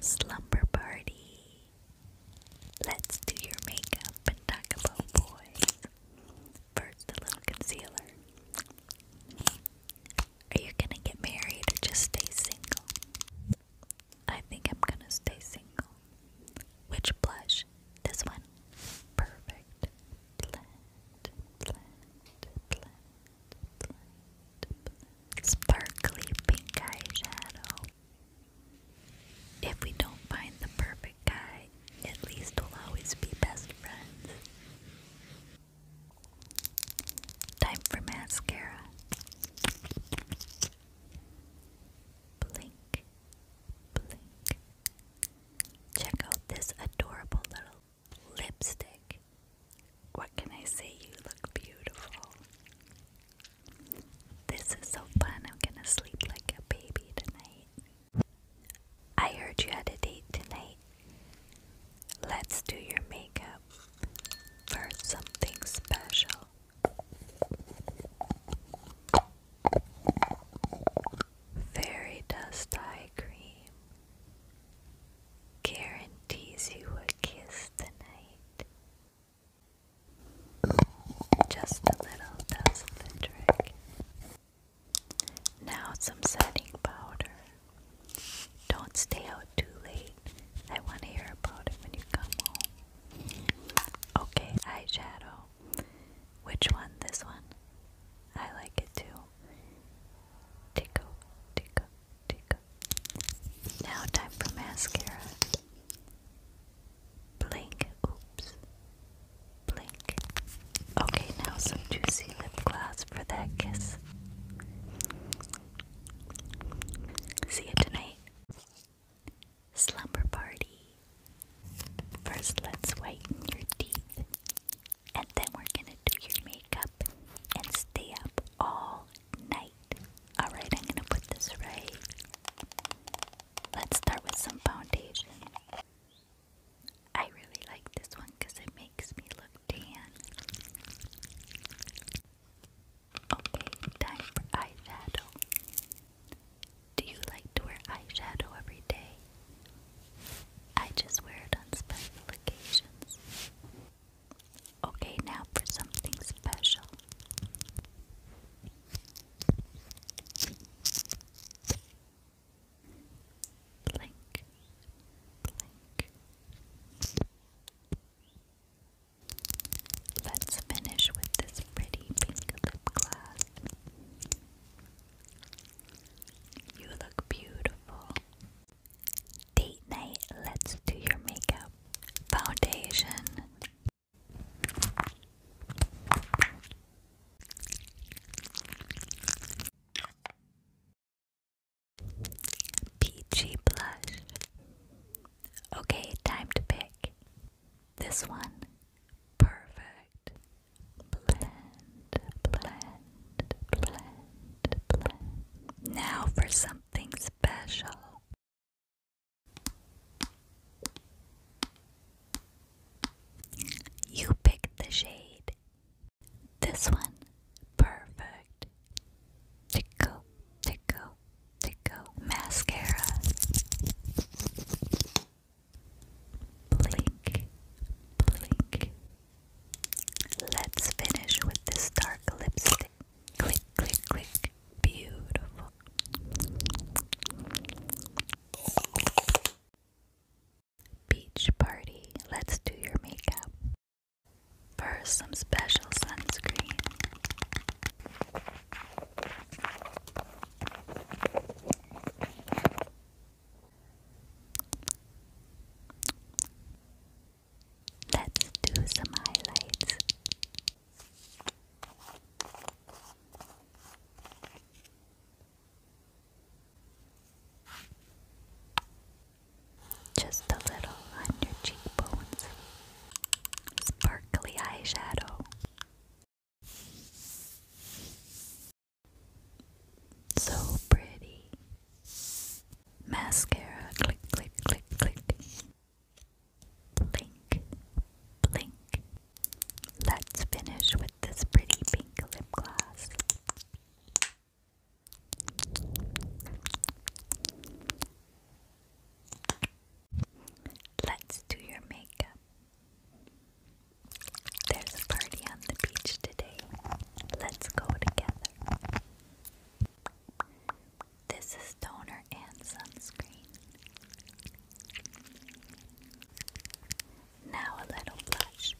Slumber party. Let's do your makeup and talk about boys. First, a little concealer. Are you gonna get married or just stay single? I think I'm gonna stay single. Which blush? This one. Perfect. Sparkly pink eyeshadow. If we don't find the perfect guy, at least we'll always be best friends. Time for mascara. Blink, blink. Check out this adorable little lipstick. What can I say? You look beautiful. This is so fun. I'm gonna sleep like a baby tonight. I heard you had a date tonight. Let's do your makeup for something special. Fairy dust eye cream guarantees you a kiss tonight. Just a little does the trick. Now, some setting powder. Don't stay out too late. I want to hear about it when you come home. Okay, eyeshadow. Which one? This one? I like it too. Tickle, tickle, now time for mascara. Blink. Oops. Blink. Okay, now some juicy lip gloss for that kiss. See you tonight. Slumber party. First, let's whiten your teeth, and then we're gonna do your makeup and stay up all night. Alright, I'm gonna put this right. Let's start with some foundation. I really like this one because it makes me look tan. Okay, time for eyeshadow. Do you like to wear eyeshadow every day? I just wear it on special occasions. Okay, now for something special. Blink, blink. Let's finish with this pretty pink lip You look beautiful. Date night, let's do your makeup. Foundation. Peachy blush. Okay, time to pick. This one. Perfect. Blend, blend, blend, blend. Now for some something special. You picked the shade. This one. Perfect. Tickle, tickle, tickle. Mascara. Blink, blink, Let's finish with this dark lipstick. Click, click, click. Beautiful. Beach party. Let's do your makeup. First, some special sunscreen. Let's do some highlights. Just a little on your cheekbones. Sparkly eyeshadow. So pretty. Mascara, click, click, click, click. Blink, blink. Let's finish with this pretty pink lip gloss. Let's do your makeup. There's a party on the beach today. Let's go together. This is toner and sunscreen. Now a little blush.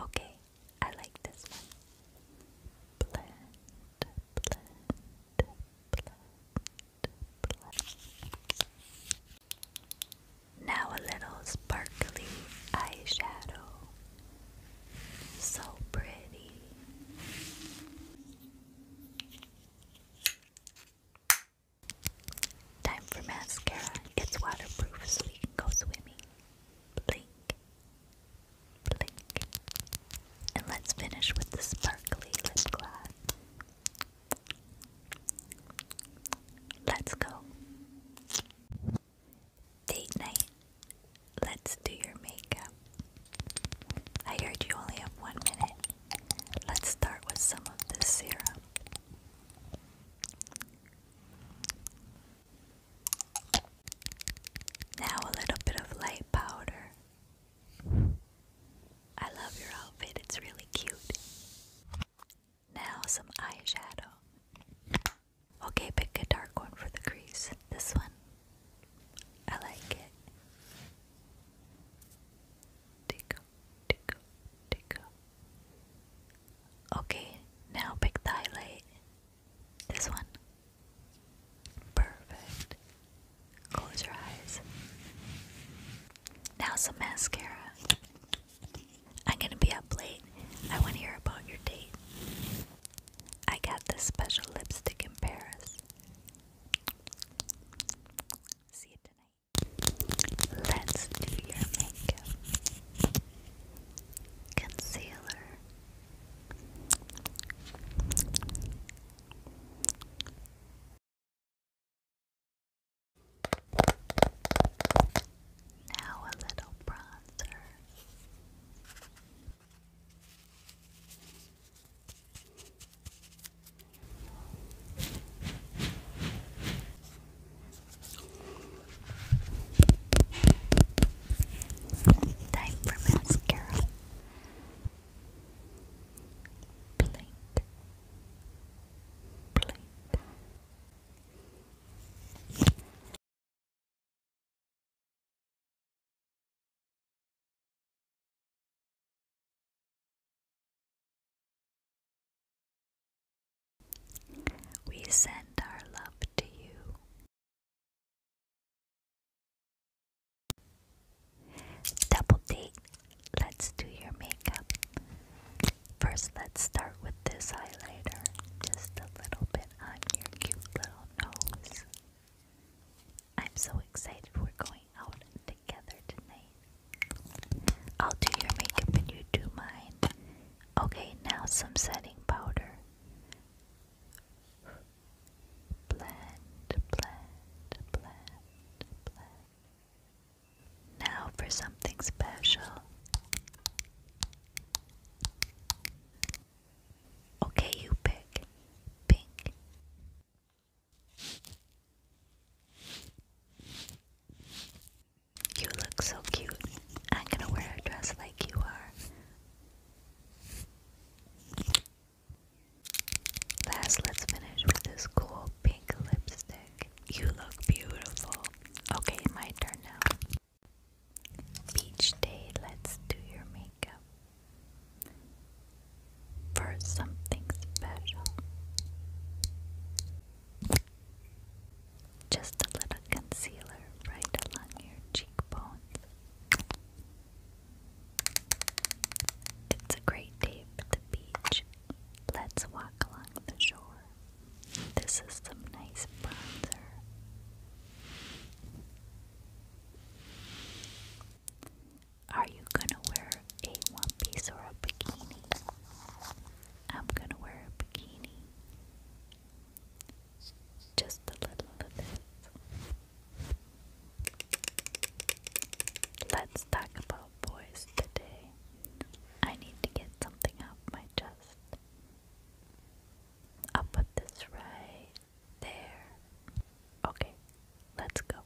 Okay, I like this one. Now a little sparkly eyeshadow. So pretty. Time for mascara. It's waterproof so we can go swimming. Blink. Blink. And let's finish with the sparkly lip gloss. Let's go. Date night. Let's do your makeup. I heard you only have one minute. Let's start with some of this serum. Now a little bit of light powder. I love your outfit, it's really cute. Now some eyeshadow. Okay, pick a dark one for the crease. This one. I like it. Tickle, tickle, tickle. Okay, now pick the highlight. This one. Perfect. Close your eyes. Now some mascara. I'm gonna be up late. I wanna hear about your date. I got this special lipstick in Paris. See you tonight. Let's do your makeup. Concealer. Now a little bronzer. Time for mascara. Blink. Blink. We send our love to you. Double date. Let's do your makeup. First, let's start with this highlighter. Just a little bit on your cute little nose. I'm so excited we're going out together tonight. I'll do your makeup and you do mine. Okay, now some setting powder. Blend, blend, blend, blend. Now for something special. Okay, you pick. Pink. You look so cute. I'm gonna wear a dress like you are. Last, let's finish with this cool pink lipstick. You look beautiful. Okay, my turn now. Beach day, let's do your makeup. For something special. Just a little concealer right along your cheekbones. It's a great day at the beach. Let's walk along the shore. This is some nice bronzer. Are you gonna wear a one piece or a bikini? I'm gonna wear a bikini. Just a little of this. Let's talk about boys today. I need to get something off my chest. I'll put this right there. Okay, let's go.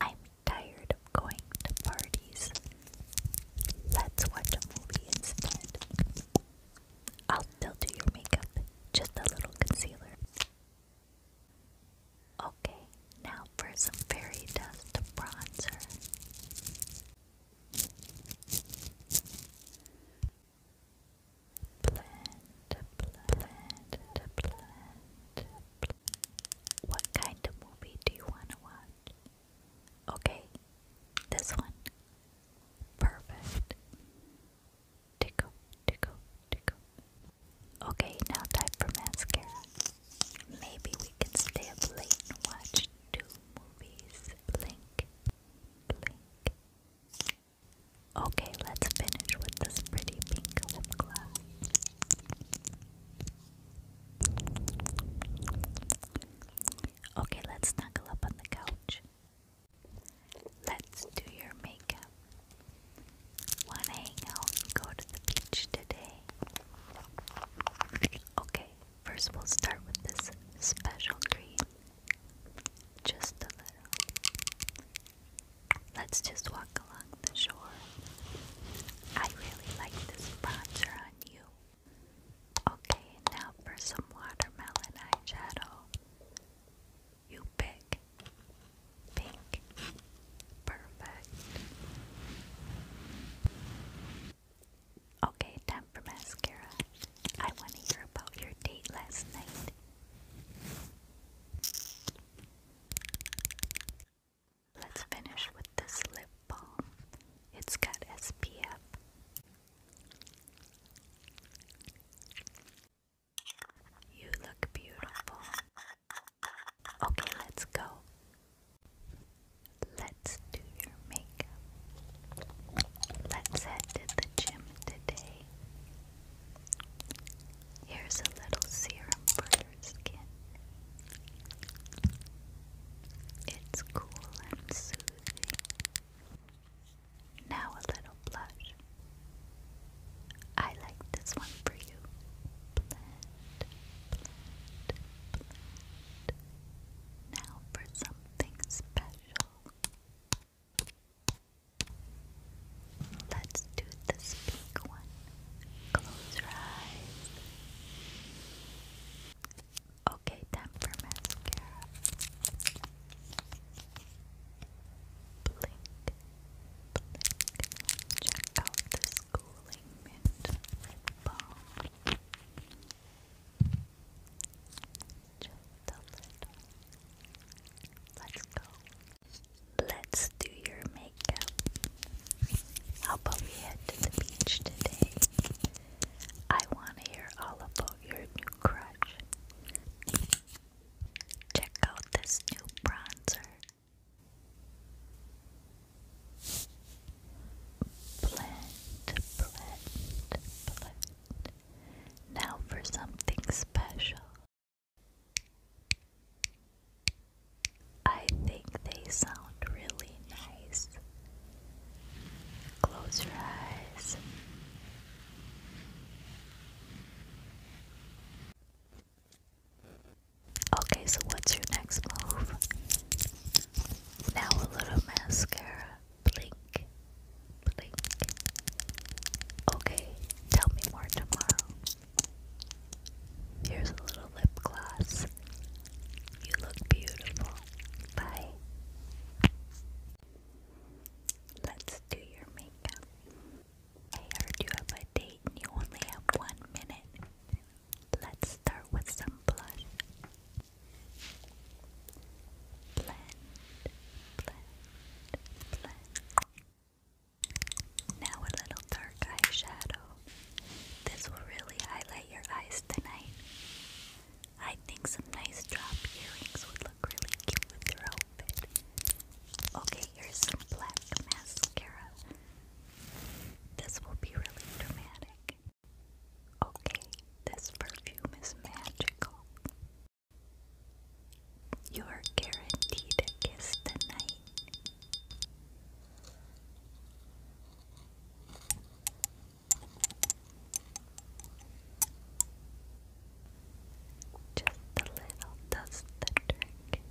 I'm tired of going to parties. Let's watch a movie instead. I'll still do your makeup, just a little concealer. Okay, now for some fairy dust bronzer. What kind of movie do you want to watch? Okay, this one. Perfect. Tickle, tickle, tickle. Okay, now time for mascara. Maybe we can stay up late and watch two movies. Blink, blink. Okay, let's finish with this pretty pink lip gloss. Okay, let's snuggle up on the couch. Let's do your makeup. Wanna hang out and go to the beach today? Okay, First, we'll start with this special green. Just a little. Let's just walk along the shore. I really like this bronzer on you. Okay, now for some watermelon eyeshadow. You pick pink. Perfect. Okay, time for mascara. I want to hear about your date last night. Let's finish with this lip balm. It's got SPF. You look beautiful. Okay, let's go. Let's do your makeup. Let's head to the gym today. Here's a little serum for your skin. It's cool and soothing. Now a little blush. I like this one for you. Now for something special. Let's do this pink one. Close your eyes. Okay, time for mascara. Blink, blink. Check out this cooling mint lip balm. Let's go. Let's do your makeup. How about we head to the beach today? I want to hear all about your new crush. Check out this new bronzer. Blend, blend, blend. Now for something special. I think they sound really nice. Close your eyes. Okay, so what's your next move? Now a little mascara. Blink. Blink. Okay, tell me more tomorrow. Here's a little lip gloss. You look beautiful. Bye. Let's do your makeup. I heard you have a date and you only have one minute. Let's start with some blush. Blend, blend, blend. Now a little dark eyeshadow. This will really highlight your eyes tonight. I think some nice drop earrings would look really cute with your outfit. Okay, here's some black mascara. This will be really dramatic. Okay, this perfume is magical. You're guaranteed a kiss tonight. Just a little does the trick.